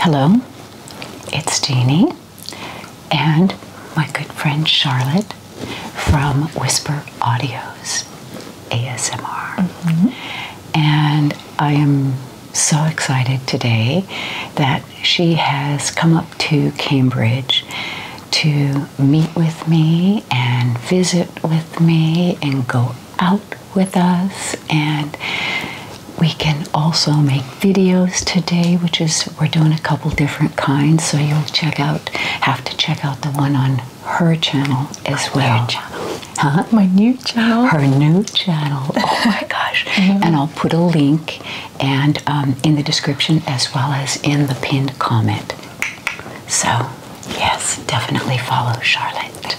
Hello, it's Jeannie and my good friend Charlotte from Whisper Audios ASMR. Mm-hmm. And I am so excited today that she has come up to Cambridge to meet with me and visit with me and go out with us and we can also make videos today which is we're doing a couple different kinds so you'll check out have to check out the one on her channel as well my new channel her new channel oh my gosh mm and i'll put a link and um, in the description as well as in the pinned comment so Yes, definitely follow Charlotte.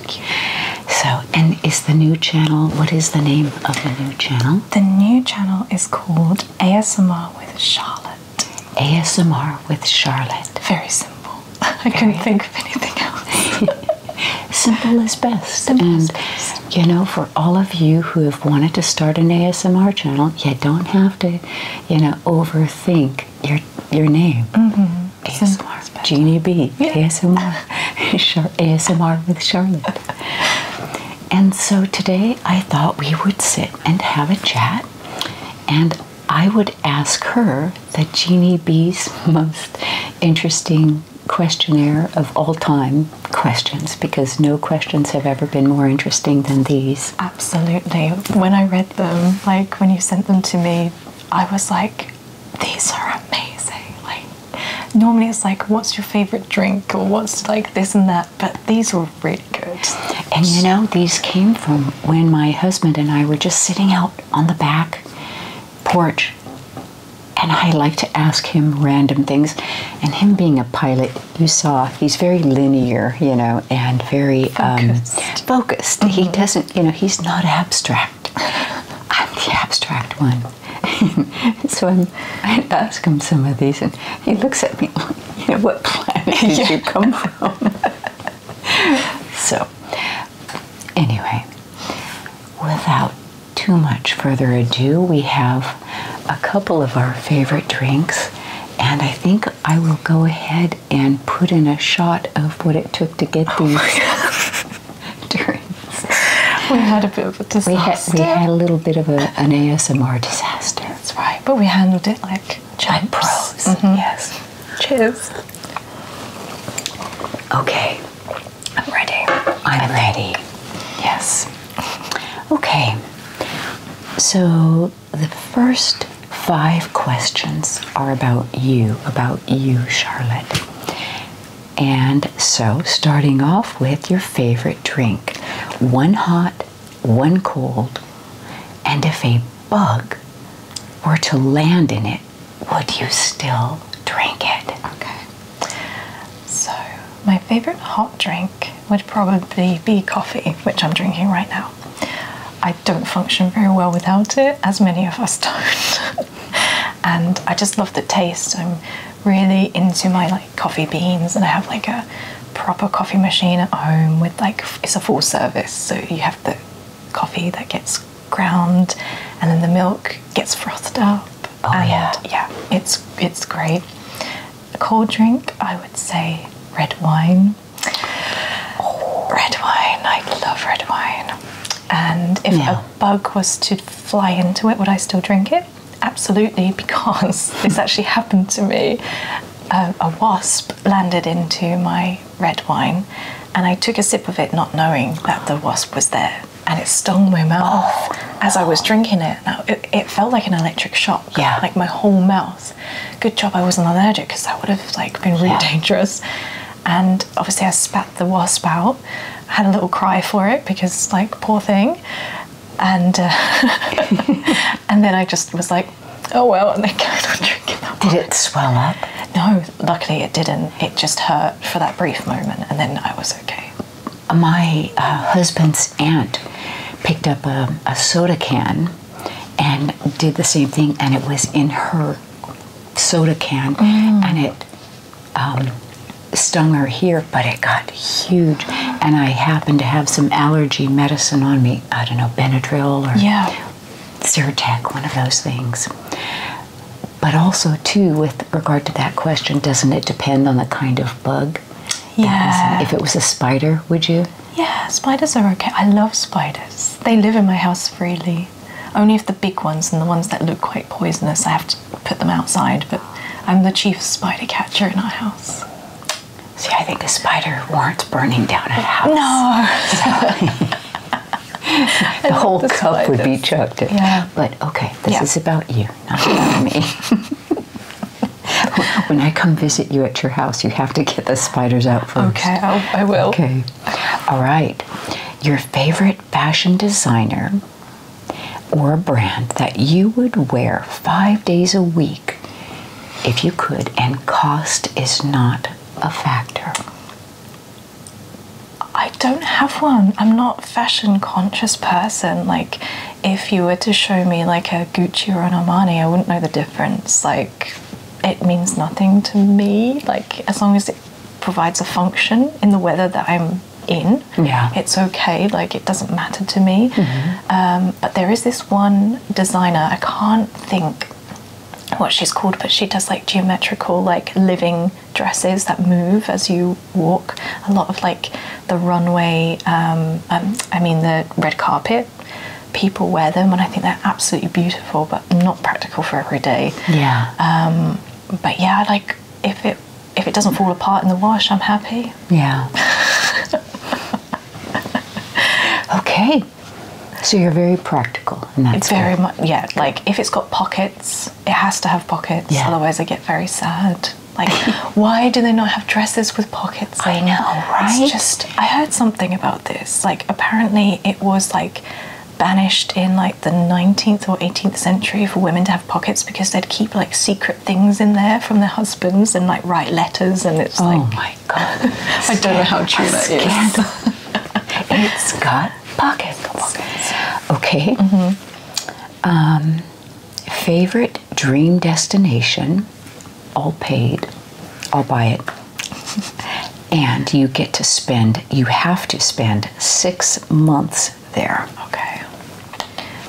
So, and is the new channel, what is the name of the new channel? The new channel is called ASMR with Charlotte. ASMR with Charlotte. Very simple. I couldn't think of anything else. simple is best. Simple and, is best. You know, for all of you who have wanted to start an ASMR channel, you don't have to, you know, overthink your your name. Mm-hmm. ASMR Jeannie B. ASMR. ASMR with Charlotte. and so today I thought we would sit and have a chat and I would ask her the Jeannie B's most interesting questionnaire of all time questions because no questions have ever been more interesting than these. Absolutely. When I read them, like when you sent them to me, I was like, these are amazing. Like normally it's like, what's your favorite drink or what's like this and that, but these were really good. And you know, these came from when my husband and I were just sitting out on the back porch and I like to ask him random things. And him being a pilot, you saw he's very linear, you know, and very um, focused. focused. He mm-hmm. doesn't, you know, he's not abstract. I'm the abstract one. so i ask him some of these, and he looks at me, you what planet did you come from? so, anyway, without too much further ado, we have a couple of our favorite drinks, and I think I will go ahead and put in a shot of what it took to get oh these We had a bit of a disaster. We had, a little bit of an ASMR disaster. That's right, but we handled it like giant pros. Mm-hmm. Yes. Cheers. Okay. I'm ready. I'm, ready. Yes. Okay. So the first Five questions are about you, about you, Charlotte. And so, starting off with your favorite drink one hot, one cold, and if a bug were to land in it, would you still drink it? Okay. So, my favorite hot drink would probably be coffee, which I'm drinking right now. I don't function very well without it, as many of us don't. and I just love the taste. I'm really into my like coffee beans, and I have like a proper coffee machine at home with like it's a full service, so you have the coffee that gets ground, and then the milk gets frothed up. Oh and yeah, yeah, it's it's great. A cold drink, I would say red wine Red wine, I love red wine. And if a bug was to fly into it, would I still drink it? Absolutely, because this actually happened to me. Um, a wasp landed into my red wine, and I took a sip of it, not knowing that the wasp was there and it stung my mouth oh. as I was drinking it. Now it, felt like an electric shock. Yeah, like my whole mouth. Good job I wasn't allergic because that would have like been really dangerous and obviously I spat the wasp out. had a little cry for it because like poor thing, and uh, and then I just was like, oh well, and then carried on drinking. Did it swell up? No, luckily it didn't. It just hurt for that brief moment, and then I was okay. My uh, husband's aunt picked up um, a soda can and did the same thing, and it was in her soda can, mm. and it um, stung her here, but it got huge. And I happened to have some allergy medicine on me. I don't know, Benadryl or yeah. Zyrtec, one of those things. But also, too, with regard to that question, doesn't it depend on the kind of bug? Yeah. If it was a spider, would you? Yeah, spiders are okay. I love spiders. They live in my house freely. Only if the big ones and the ones that look quite poisonous, I have to put them outside. But I'm the chief spider catcher in our house. See, I think a spider warrants burning down a house. No. the whole the cup would be chucked. Yeah. But okay, this is about you, not about me. when I come visit you at your house, you have to get the spiders out for me. Okay, I will. Okay. All right. Your favorite fashion designer or a brand that you would wear five days a week if you could, and cost is not a factor. I don't have one. I'm not fashion conscious person. Like, if you were to show me like a Gucci or an Armani, I wouldn't know the difference. Like, it means nothing to me. Like as long as it provides a function in the weather that I'm in, yeah. it's okay. Like it doesn't matter to me. Mm-hmm. Um, but there is this one designer. I can't think what she's called, but she does like geometrical, like living dresses that move as you walk. A lot of like the runway, um, um, I mean, the red carpet People wear them, and I think they're absolutely beautiful, but not practical for every day. Yeah. Um, but yeah, like if it if it doesn't fall apart in the wash, I'm happy. Yeah. okay. So you're very practical, It's very much. Yeah, like if it's got pockets, it has to have pockets. Yeah. Otherwise, I get very sad. Like, why do they not have dresses with pockets? I know, right? It's just I heard something about this. Like, apparently it was like banished in like the 19th or 18th century for women to have pockets because they'd keep like secret things in there from their husbands and like write letters and it's oh like oh my god i don't know how true that is it's got pockets, okay mm-hmm. um, favorite dream destination all paid. I'll buy it. and you get to spend, you have to spend six months there. Okay.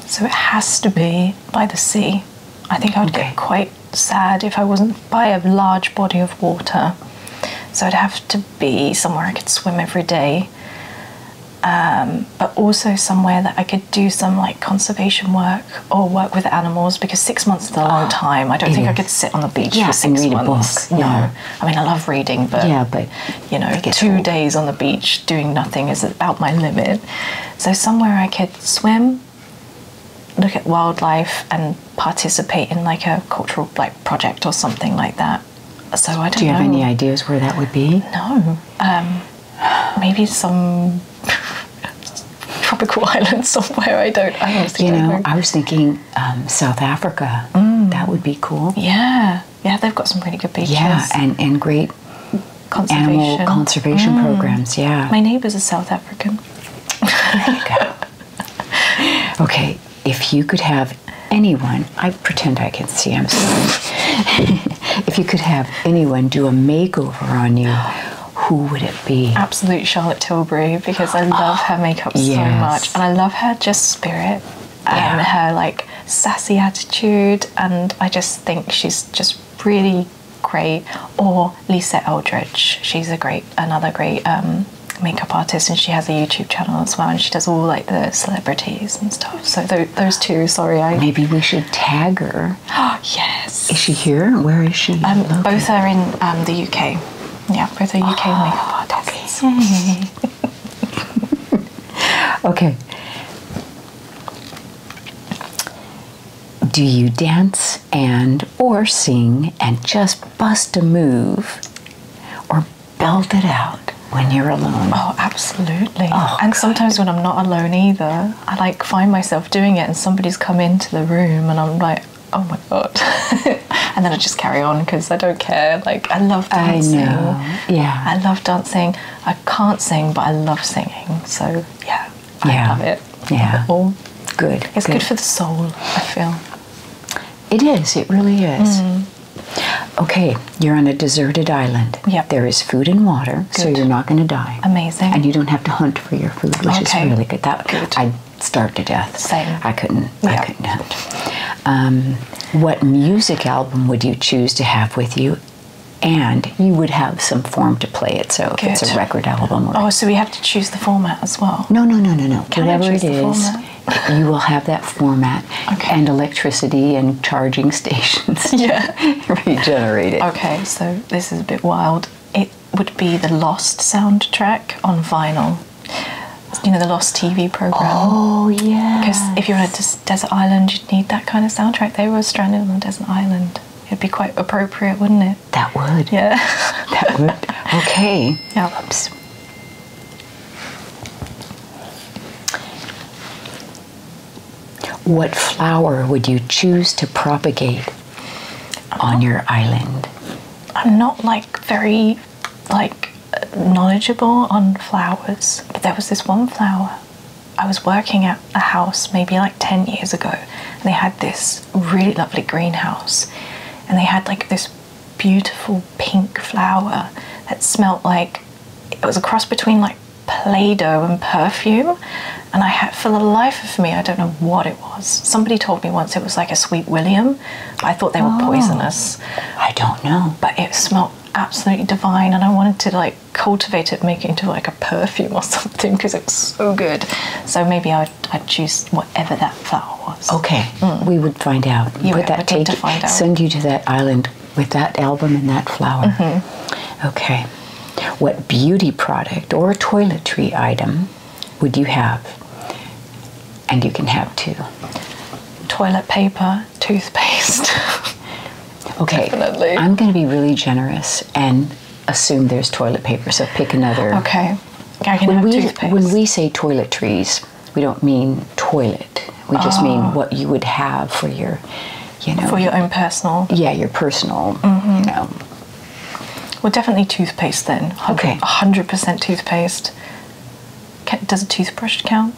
So it has to be by the sea. I think I would get quite sad if I wasn't by a large body of water. So I'd have to be somewhere I could swim every day. Um, but also somewhere that I could do some like conservation work or work with animals because six months is a long ah, time. I don't think I could sit on the beach for six months. No. I mean I love reading, but yeah, but you know, two days on the beach doing nothing is about my limit. So somewhere I could swim, look at wildlife, and participate in like a cultural like project or something like that. So I don't. Do you have any ideas where that would be? No. Um, maybe some tropical island somewhere. I don't. I honestly you know, don't know. I was thinking um, South Africa. Mm. That would be cool. Yeah, yeah. They've got some really good beaches. Yeah, and and great conservation. animal conservation mm. programs. Yeah. My neighbours are South African. okay, if you could have anyone, I pretend I can see. I'm sorry. if you could have anyone do a makeover on you who would it be? Absolute Charlotte Tilbury because I love her makeup so much and I love her just spirit and her like sassy attitude and I just think she's just really great. Or Lisa Eldridge, she's a great another great um, makeup artist and she has a YouTube channel as well and she does all like the celebrities and stuff. So those two, sorry, Maybe we should tag her her. Oh, yes. Is she here? Where is she? Um, both are in um, the UK. Yeah, both are UK oh, ah. makeup artists. Okay. Do you dance and or sing and just bust a move or belt it out when you're alone? Oh, absolutely. Oh, and sometimes when I'm not alone either, I like find myself doing it and somebody's come into the room and I'm like, oh my god. and then I just carry on because I don't care. Like, I love dancing. Yeah. I love dancing. I can't sing, but I love singing. So, yeah, I love it. yeah. Love good. It's good. for the soul, I feel. It is. It really is. Mm. Okay, you're on a deserted island. Yep. There is food and water, so you're not going to die. Amazing. And you don't have to hunt for your food, which is really good. I'd starve to death. Same. I couldn't. I couldn't. Um, what music album would you choose to have with you? And you would have some form to play it, so if it's a record album. oh, so we have to choose the format as well. No, no, no, no, no. Can Whatever it is, you will have that format and electricity and charging stations. Yeah, regenerate it. Okay, so this is a bit wild would be the Lost soundtrack on vinyl. You know, the Lost TV program. Oh, yeah. Because if you were on a desert island, you'd need that kind of soundtrack. They were stranded on a desert island. It'd be quite appropriate, wouldn't it? That would. Yeah. that would. Okay. Yeah. What flower would you choose to propagate? on your island? I'm not like very like knowledgeable on flowers, but there was this one flower. I was working at a house maybe like 10 years ago, and they had this really lovely greenhouse, and they had like this beautiful pink flower that smelt like it was a cross between like Play Doh and perfume. And I had, for the life of me, I don't know what it was. Somebody told me once it was like a sweet William. I thought they were oh. poisonous. I don't know. But it smelled absolutely divine, and I wanted to like cultivate it, make it into like a perfume or something because it's so good. So maybe I'd, I'd choose whatever that flower was. Okay, mm. we would find out. You would take, Send you to that island with that album and that flower. Mm-hmm. Okay. What beauty product or toiletry item would you have? And you can have two. Toilet paper, toothpaste. okay, I'm going to be really generous and assume there's toilet paper, so pick another. Okay, I can when have we, toothpaste. When we say toiletries, we don't mean toilet. We just ah. mean what you would have for your, you know, for your own personal. Yeah, your personal, mm-hmm. you know, well, definitely toothpaste then. 100%, 100% toothpaste. does a toothbrush count?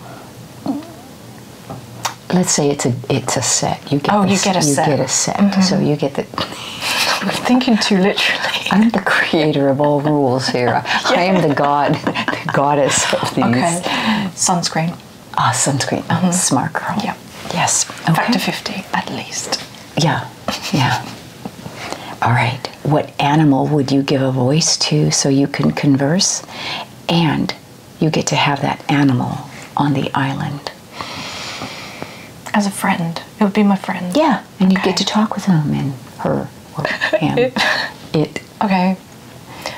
Let's say it's a it's a set. You get oh, a, you get a set. You get a set. So mm-hmm. you get the. I'm thinking too literally. I'm the creator of all rules here. I am the god, the goddess of these. Okay. Sunscreen. Ah, sunscreen. Mm-hmm. Smart girl. Yep. Yeah. Yes. Okay. to 50 at least. Yeah. Yeah. All right. What animal would you give a voice to so you can converse and you get to have that animal on the island? As a friend. It would be my friend. Yeah. And okay. you get to talk with him and her or him. it. Okay.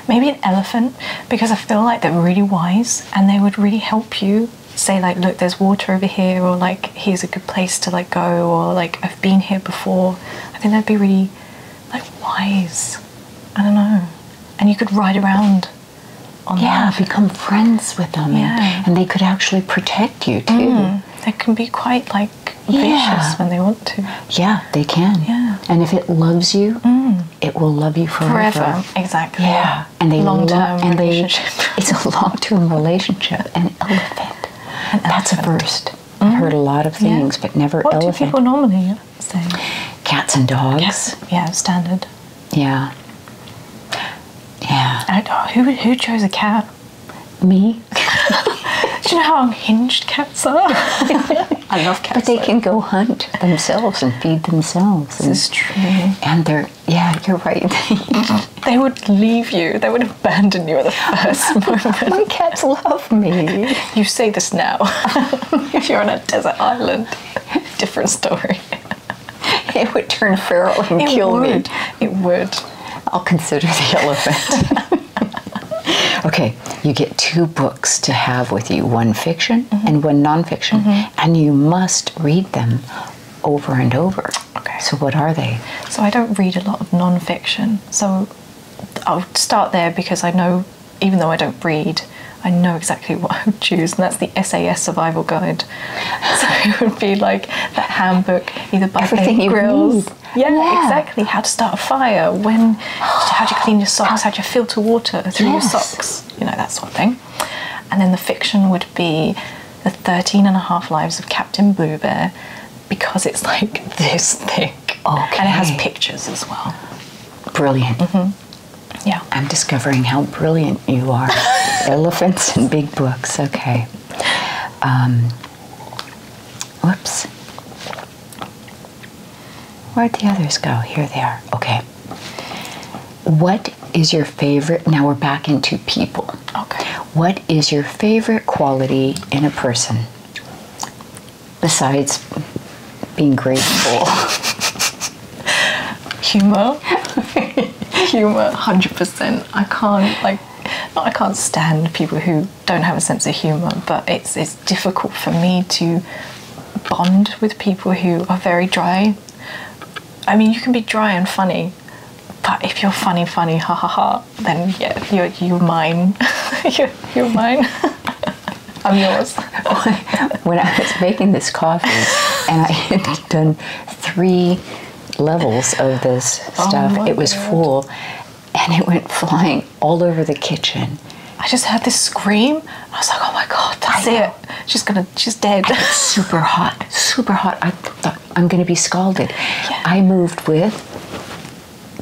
Maybe an elephant because I feel like they're really wise and they would really help you say like look there's water over here or like here's a good place to like go or like i've been here before i think that'd be really like wise i don't know and you could ride around on yeah become friends with them yeah. and, they could actually protect you too mm. they can be quite like vicious when they want to yeah they can yeah and if it loves you mm. it will love you forever, forever. exactly yeah and they long term and they, It's a long term relationship. An elephant. That's a first. I've mm-hmm. heard a lot of things, but never what elephant. What do people normally say? Cats and dogs. Yeah, standard. Yeah. Yeah. I, oh, who who chose a cat? Me. do you know how unhinged cats are? I love cats. But they can go hunt themselves and feed themselves. This is true. And they're yeah, you're right. they would leave you. They would abandon you at the first moment. My cats love me. You say this now. if you're on a desert island, different story. it would turn feral and kill me. It would. I'll consider the elephant. okay, you get two books to have with you one fiction and one nonfiction. Mm-hmm and you must read them over and over. Okay. So what are they? So I don't read a lot of non-fiction. So I'll start there because I know, even though I don't read, I know exactly what I would choose, and that's the SAS Survival Guide. So it would be like that handbook, either by Everything Faith Grills. Yeah, exactly. How to start a fire, when, how do you clean your socks, how do you filter water through your socks, you know, that sort of thing. And then the fiction would be the 13 and a half lives of Captain Blue Bear because it's like this thick. Okay. And it has pictures as well. Brilliant. Mm-hmm. Yeah. I'm discovering how brilliant you are. Elephants and big books. Okay. Um, whoops. Where'd the others go? Here they are. Okay. What is your favorite? Now we're back into people. Okay. What is your favorite quality in a person besides being grateful? Humor. Humor, 100%. I can't, like, I can't stand people who don't have a sense of humor, but it's it's difficult for me to bond with people who are very dry I mean, you can be dry and funny, but if you're funny, funny, ha ha ha, then yeah, you're you mine. you're, mine. I'm yours. when I was making this coffee, and I had done three levels of this oh stuff, it was full, and it went flying all over the kitchen. I just heard this scream. I was like, oh my God, that's I it she's gonna she's dead super hot super hot i am gonna be scalded i moved with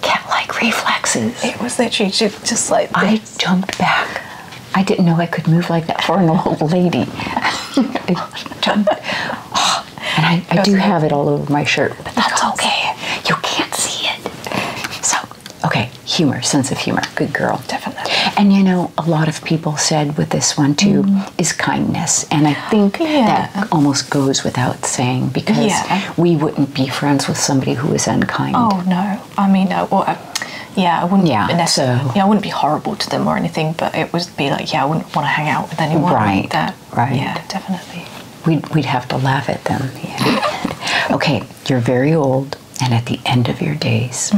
cat-like reflexes it was that she just like i jumped back i didn't know i could move like that for an old lady and i, I do have it all over my shirt but that's okay you can't see it so okay humor, sense of humor. Good girl. Definitely. And you know, a lot of people said with this one too mm. is kindness. And I think that almost goes without saying because we wouldn't be friends with somebody who is unkind. Oh, no. I mean, uh, uh, yeah, I wouldn't yeah, so. yeah, I wouldn't be horrible to them or anything, but it would be like, yeah, I wouldn't want to hang out with anyone right, that. Right. Yeah, definitely. We'd, we'd have to laugh at them. okay, you're very old and at the end of your days.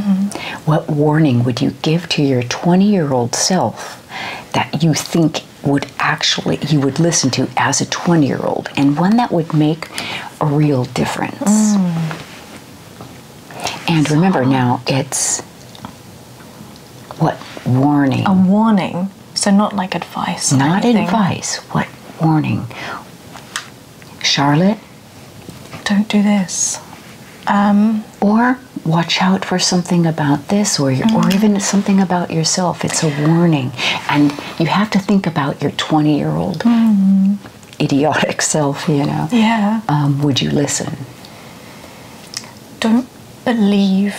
What warning would you give to your 20 year old self that you think would actually, you would listen to as a 20 year old and one that would make a real difference? And remember now, it's what warning? A warning. So, not like advice. Not anything. advice. What warning? Charlotte, don't do this. Um, or watch out for something about this or, or mm-hmm. even something about yourself. It's a warning. And you have to think about your 20 year old mm-hmm. idiotic self, you know. Yeah. Um, would you listen? Don't believe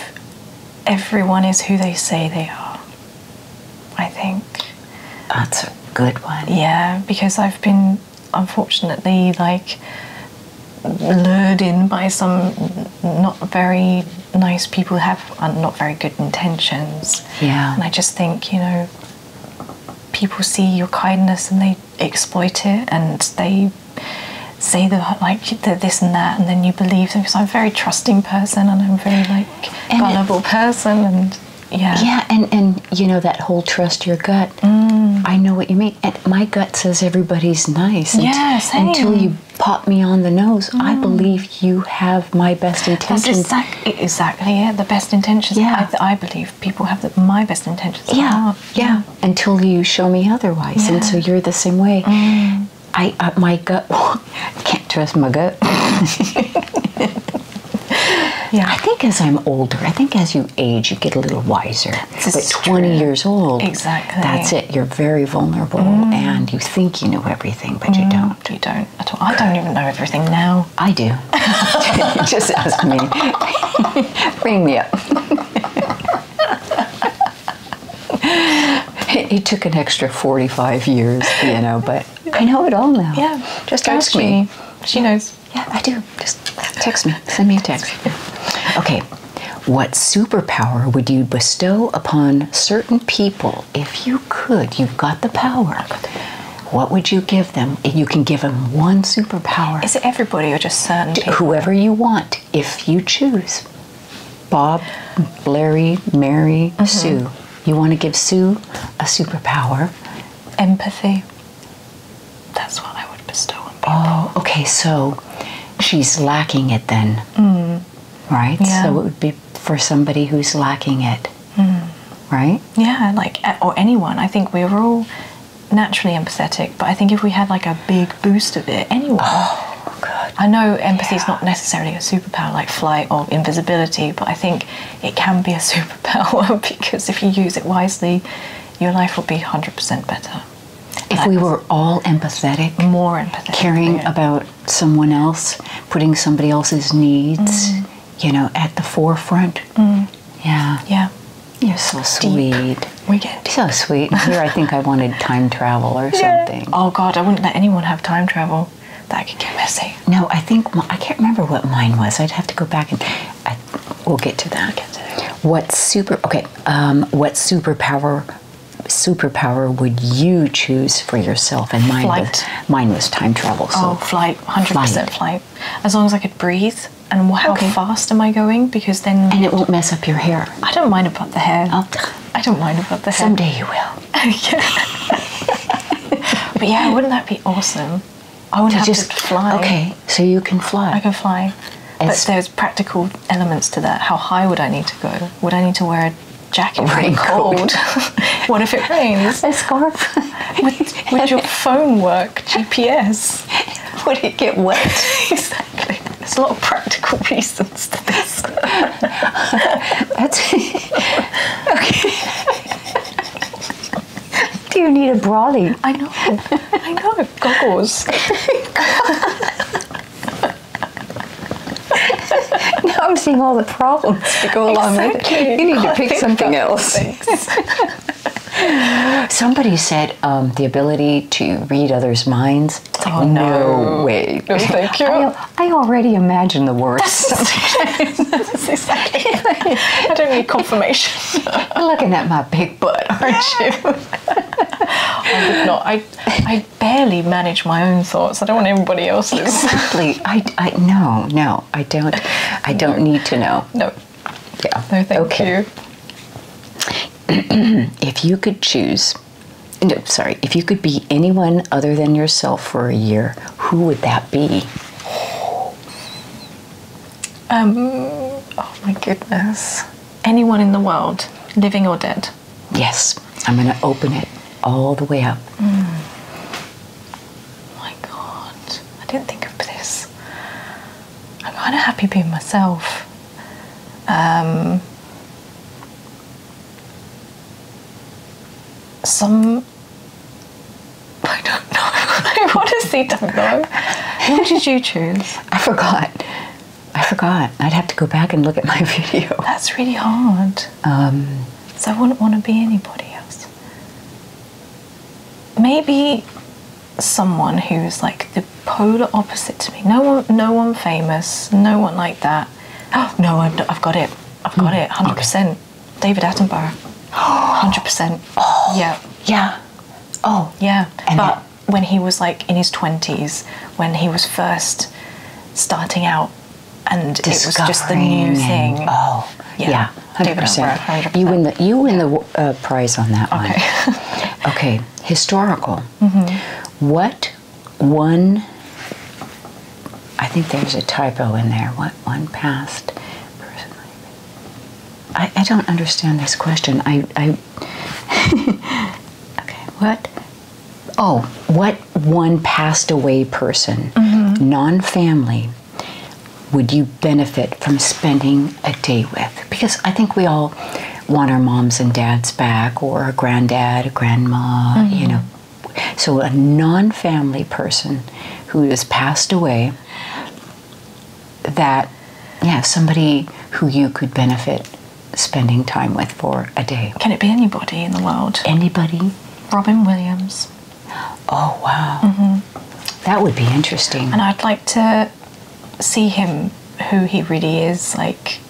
everyone is who they say they are, I think. That's a good one. Yeah, because I've been unfortunately like lured in by some not very nice people have uh, not very good intentions. Yeah. And I just think, you know, people see your kindness and they exploit it and they say the like the this and that and then you believe them because I'm a very trusting person and I'm a very like and vulnerable person and yeah. Yeah, and and you know that whole trust your gut. Mm. I know what you mean. my gut says everybody's nice. Until you pop me on the nose, I mm. believe you have my best intentions. exactly, exactly yeah, the best intentions. Yeah, I, believe people have my best intentions. Yeah, yeah, Until you show me otherwise, and so you're the same way. Mm. I uh, my gut can't trust my gut. yeah. I think as I'm older, I think as you age, you get a little wiser. This 20 years old, exactly. That's it. You're very vulnerable, mm. and you think you know everything, but you mm, don't. You don't at all. I don't even know everything now. I do. Just ask me. Bring me up. it, it took an extra 45 years, you know, but. I know it all now. Yeah. Just ask me. She knows. Yeah, I do. Just text me. Send me a text. okay. What superpower would you bestow upon certain people if you could? You've got the power. What would you give them? You can give them one superpower. Is it everybody or just certain Whoever you want, if you choose. Bob, Larry, Mary, mm-hmm. Sue. You want to give Sue a superpower empathy. That's what I would bestow on people. Oh, okay, so she's lacking it then. Mm. Right? Yeah. So it would be for somebody who's lacking it. Mm. Right? Yeah, like, or anyone. I think we're all naturally empathetic, but I think if we had like a big boost of it, anyone. Oh. Good. I know empathy is not necessarily a superpower like flight or invisibility, but I think it can be a superpower because if you use it wisely, your life will be 100% better. If that we were all empathetic, more empathetic, caring yeah. about someone else, putting somebody else's needs, mm. you know, at the forefront. Mm. Yeah. Yeah. You're so deep. sweet. We get deep. so sweet. Here, I think I wanted time travel or yeah. something. Oh God, I wouldn't let anyone have time travel that can get messy. No, I think I can't remember what mine was. I'd have to go back and we'll get to that. Get to that. What super? Okay, um, what superpower? Superpower would you choose for yourself? And mine was mine was time travel. So oh, flight, hundred percent flight. As long as I could breathe and how fast am I going? Because then and it won't mess up your hair. I don't mind about the hair. I do not mind about the hair. Someday you will yeah. but yeah, wouldn't that be awesome? I want to just fly. Okay, so you can fly. I can fly. but there's practical elements to that. How high would I need to go? Would I need to wear a jacket when cold? what if it rains? A scarf. would, would your phone work? GPS? would it get wet? exactly. There's a lot of practical reasons to this. That's okay. Do you need a brolly? I know. I know. Goggles. now I'm seeing all the problems that go along with it. You need to pick something else. Somebody said um, the ability to read others' minds. Oh, no. way. No, thank you. I already imagine the worst. exactly. I don't need confirmation. Looking at my big butt, aren't you? I would not. I, I barely manage my own thoughts. I don't want everybody else's. Exactly. I, I no no. I don't. I don't need to know. No. Yeah. No, thank okay. you. if you could choose, no, sorry, if you could be anyone other than yourself for a year, who would that be? Um, oh my goodness. Anyone in the world, living or dead? Yes, I'm going to open it all the way up. Hmm. my God, I didn't think of this. I'm kind of happy being myself. Um, some I don't know. I want to see Know. Who did you choose? I forgot. I forgot. I'd have to go back and look at my video. That's really hard. Um, so I wouldn't want to be anybody else. Maybe someone who's like the polar opposite to me. No one, no one famous. No one like that. Oh no, I've, got it. I've got hmm. it. Hundred percent. David Attenborough. 100%. Yeah. Yeah. Oh. Yeah. but when he was like in his 20s, when he was first starting out, and it was just the new thing. oh. Yeah. David 100 You win the, you win the uh, prize on that one. Okay. Historical. Mm-hmm. What one I think there's a typo in there. What one past person? I, I don't understand this question. I, I okay. What? Oh, what one passed away person, mm-hmm. non-family, would you benefit from spending a day with? Because I think we all want our moms and dads back, or a granddad, a grandma, you mm-hmm. know, so, a non family person who has passed away, that, yeah, somebody who you could benefit spending time with for a day. Can it be anybody in the world? Anybody? Robin Williams. Oh, wow. Mm-hmm. That would be interesting. And I'd like to see him, who he really is, like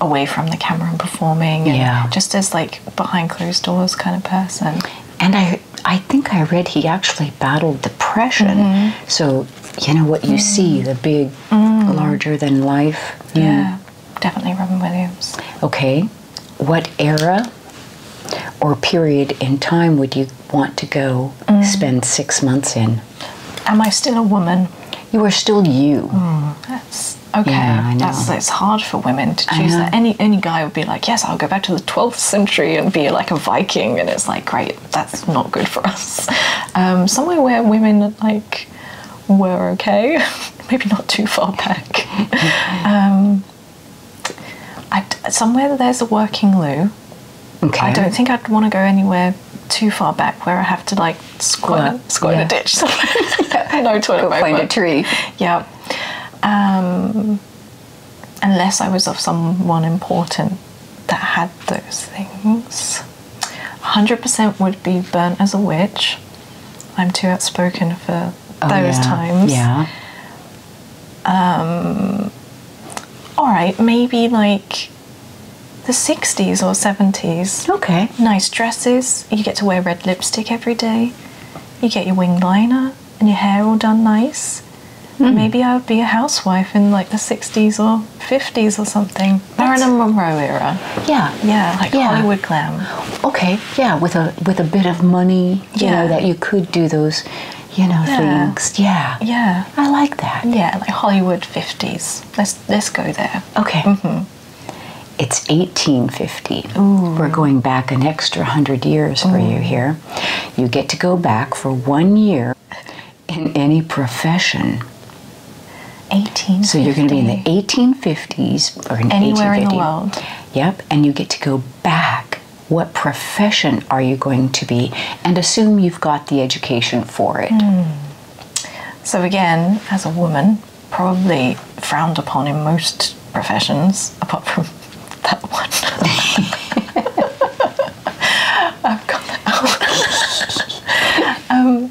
away from the camera and performing. yeah. Just as like behind closed doors kind of person. And I, I think I read he actually battled depression. Mm-hmm. So you know what you see, mm-hmm. the big, mm. larger than life. Yeah, definitely Robin Williams. Okay, what era or period in time would you want to go mm. spend six months in? Am I still a woman? You are still you. Mm, Okay, that's it's hard for women to choose that. Any any guy would be like, yes, I'll go back to the 12th century and be like a Viking, and it's like, great, that's not good for us. Um, somewhere where women like were okay, maybe not too far back. Um, I, somewhere there's a working loo. Okay. I don't think I'd want to go anywhere too far back where I have to like squat, squat in a ditch somewhere. no toilet Go Find a tree. yeah. Um, unless I was of someone important that had those things. 100% would be burnt as a witch. I'm too outspoken for oh, those times. Yeah. Um, all right, maybe like the 60s or 70s. Okay. Nice dresses. You get to wear lipstick every day. You get your winged liner and your hair all done nice. Hmm. Maybe I would be a housewife in like the 60s or 50s or something. That's... Marilyn Monroe era. Yeah. Yeah, like yeah. Hollywood glam. Okay, yeah, with a with a bit of money, yeah. that you could do those, you know, things. Yeah. Yeah. I like that. Yeah, like Hollywood 50s. Let's let's go there. Okay. Mm-hmm. It's 1850. We're going back an extra 100 years for you here. You get to go back for one year in any profession. 18. So you're going to be in the 1850s or anywhere in the world. Yep, and you get to go back. What profession are you going to be? And assume you've got the education for it. Hmm. So again, as a woman, probably frowned upon in most professions, apart from that one. I've got that um,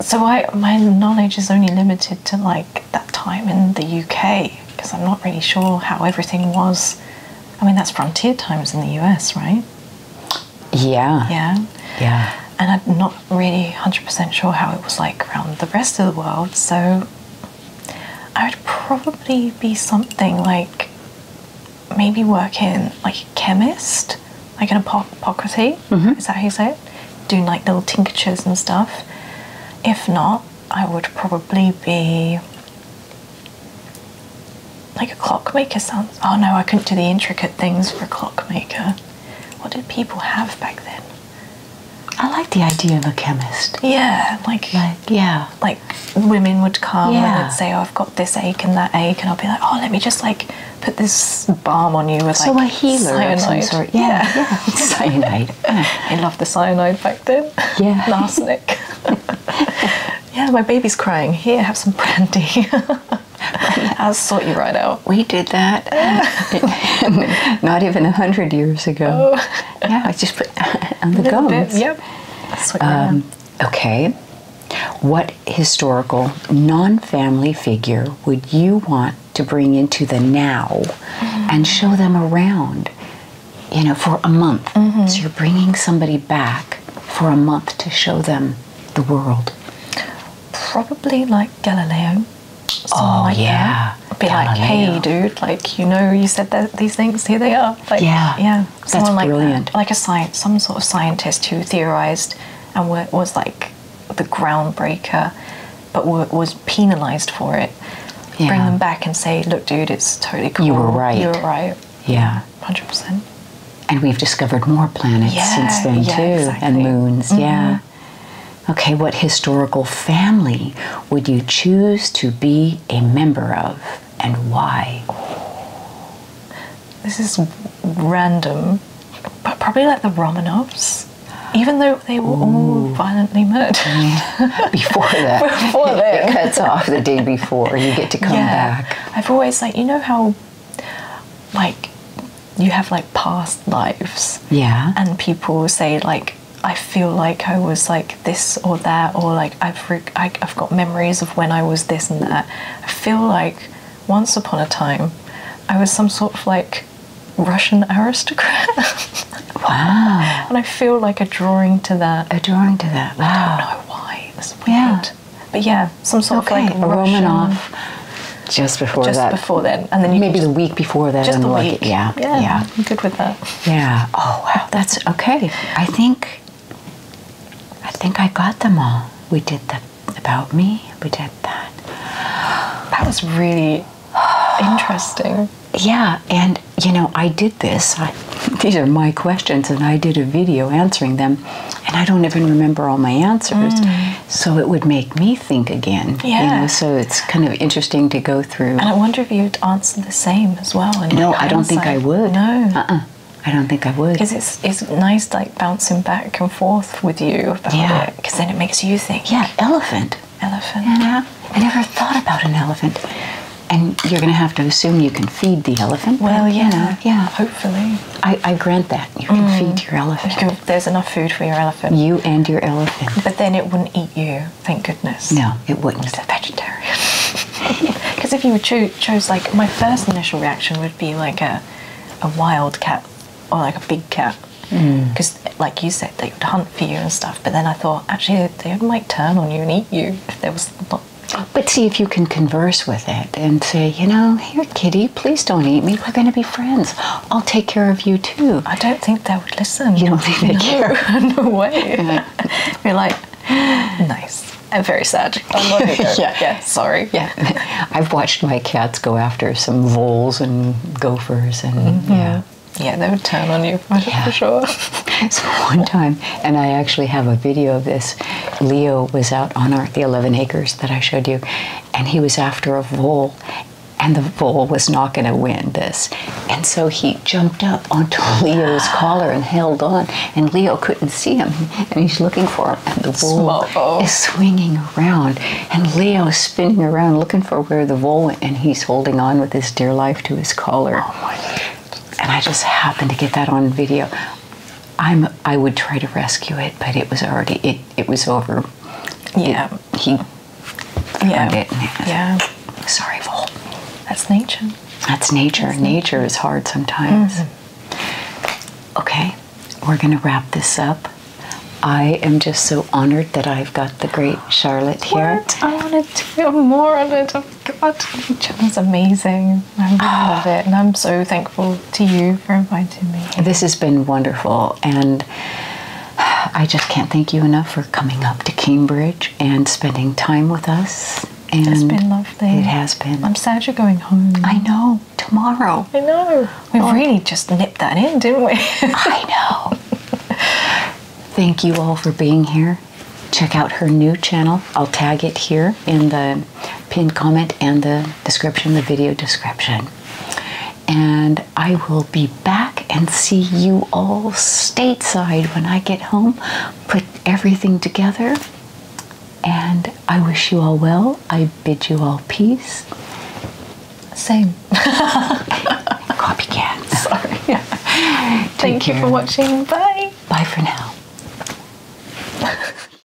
so I, my knowledge is only limited to like that time in the UK because I'm not really sure how everything was. I mean, that's frontier times in the US, right? Yeah. Yeah. Yeah. And I'm not really 100% sure how it was like around the rest of the world, so I would probably be something like maybe working like a chemist, like an apothecary. Mm-hmm. Is that how you say it? Doing like little tinctures and stuff. If not, I would probably be like a clockmaker sounds. Oh no, I couldn't do the intricate things for a clockmaker. What did people have back then? I like the idea of a chemist. Yeah, like, yeah, like women would come and say, "Oh, I've got this ache and that ache," and I'll be like, "Oh, let me just like put this balm on you with so like a healer cyanide." Yeah, cyanide. I love the cyanide back then. Yeah, arsenic. yeah, my baby's crying. Here, have some brandy. I'll sort you right out. We did that not even a hundred years ago. Oh. Yeah, I just put on the gums. Bit, yep. Um, okay. What historical non family figure would you want to bring into the now mm-hmm. and show them around, you know, for a month? Mm-hmm. So you're bringing somebody back for a month to show them the world. Probably like Galileo. Oh, Something like yeah, that. be like, hey, dude, like you know, you said that these things. Here they are. Like, yeah, yeah. Someone That's brilliant. Like, a science, some sort of scientist who theorized and was like the groundbreaker, but was penalized for it. Bring them back and say, look, dude, it's totally cool. You were right. You were right. Yeah, hundred percent. And we've discovered more planets since then too, and moons. Yeah. Mm-hmm. Okay, what historical family would you choose to be a member of and why? This is random, but probably like the Romanovs. Even though they were all violently murdered. Before that. before that. It cuts off the day before. You get to come back. I've always like, you know how like you have like past lives. Yeah. And people say like I feel like I was like this or that or like I've I, have i have got memories of when I was this and that. I feel like once upon a time I was some sort of like Russian aristocrat. wow. And I feel like a drawing to that. A drawing to that. Wow. I don't know why. It's weird. Yeah. But yeah, some sort of like Romanoff. Just before just that. Just before then, and then maybe the week before that. Just the week. yeah, yeah, yeah. I'm good with that. Yeah. Oh wow, that's okay. I think. I think I got them all. We did that about me. We did that. That was really interesting. Yeah, and you know, I did this. these are my questions, and I did a video answering them and I don't even remember all my answers. Mm. So it would make me think again. Yeah. so it's kind of interesting to go through. And I wonder if you'd answer the same as well. No, I don't think I would. No. Uh-uh. I don't think I would. Because it's, it's nice like bouncing back and forth with you yeah. Because then it makes you think. Yeah, elephant. Elephant. Yeah. I never thought about an elephant. And you're going to have to assume you can feed the elephant. Well, yeah. yeah. Hopefully. I, I grant that. You can mm. feed your elephant. there's enough food for your elephant. You and your elephant. But then it wouldn't eat you, thank goodness. No, it wouldn't. It's a vegetarian. Because if you cho chose, like, my first initial reaction would be like a, a wild cat or like a big cat. Because, mm. like you said, they would hunt for you and stuff. But then I thought, actually, they might turn on you and eat you if there was not but see if you can converse with it and say, you know, here, kitty. Please don't eat me. We're going to be friends. I'll take care of you too. I don't think they would listen. You don't think they no, way. You're like, nice. I'm very sad. I'm yeah, yeah, sorry. Yeah, I've watched my cats go after some voles and gophers, and mm-hmm. yeah, yeah, they would turn on you for, sure. so one time, and I actually have a video of this. Leo was out on the 11 acres that I showed you, and he was after a vole and the vole was not going to win this. And so he jumped up onto Leo's collar and held on, and Leo couldn't see him, and he's looking for him, and the vole is swinging around, and Leo is spinning around looking for where the vole and he's holding on with his dear life to his collar. Oh and I just happened to get that on video. I'm, I would try to rescue it, but it was already, it, was over. Yeah. he yeah. Yeah. Sorry, Vol. That's nature. That's nature. nature. is hard sometimes. Mm-hmm. Okay, we're going to wrap this up. I am just so honored that I've got the great Charlotte here. What? I want to feel more of it. Oh, God, Jen is amazing. I love oh. it. And I'm so thankful to you for inviting me. This has been wonderful, and I just can't thank you enough for coming up to Cambridge and spending time with us. And it's been lovely. It has been. I'm sad you're going home. I know. Tomorrow. I know. We oh, really just nipped that in, didn't we? I know. Thank you all for being here. Check out her new channel. I'll tag it here in the Pin comment and the description, the video description. And I will be back and see you all stateside when I get home, put everything together. And I wish you all well. I bid you all peace. Same. Copycat. Sorry. Thank you for watching. Bye. Bye for now.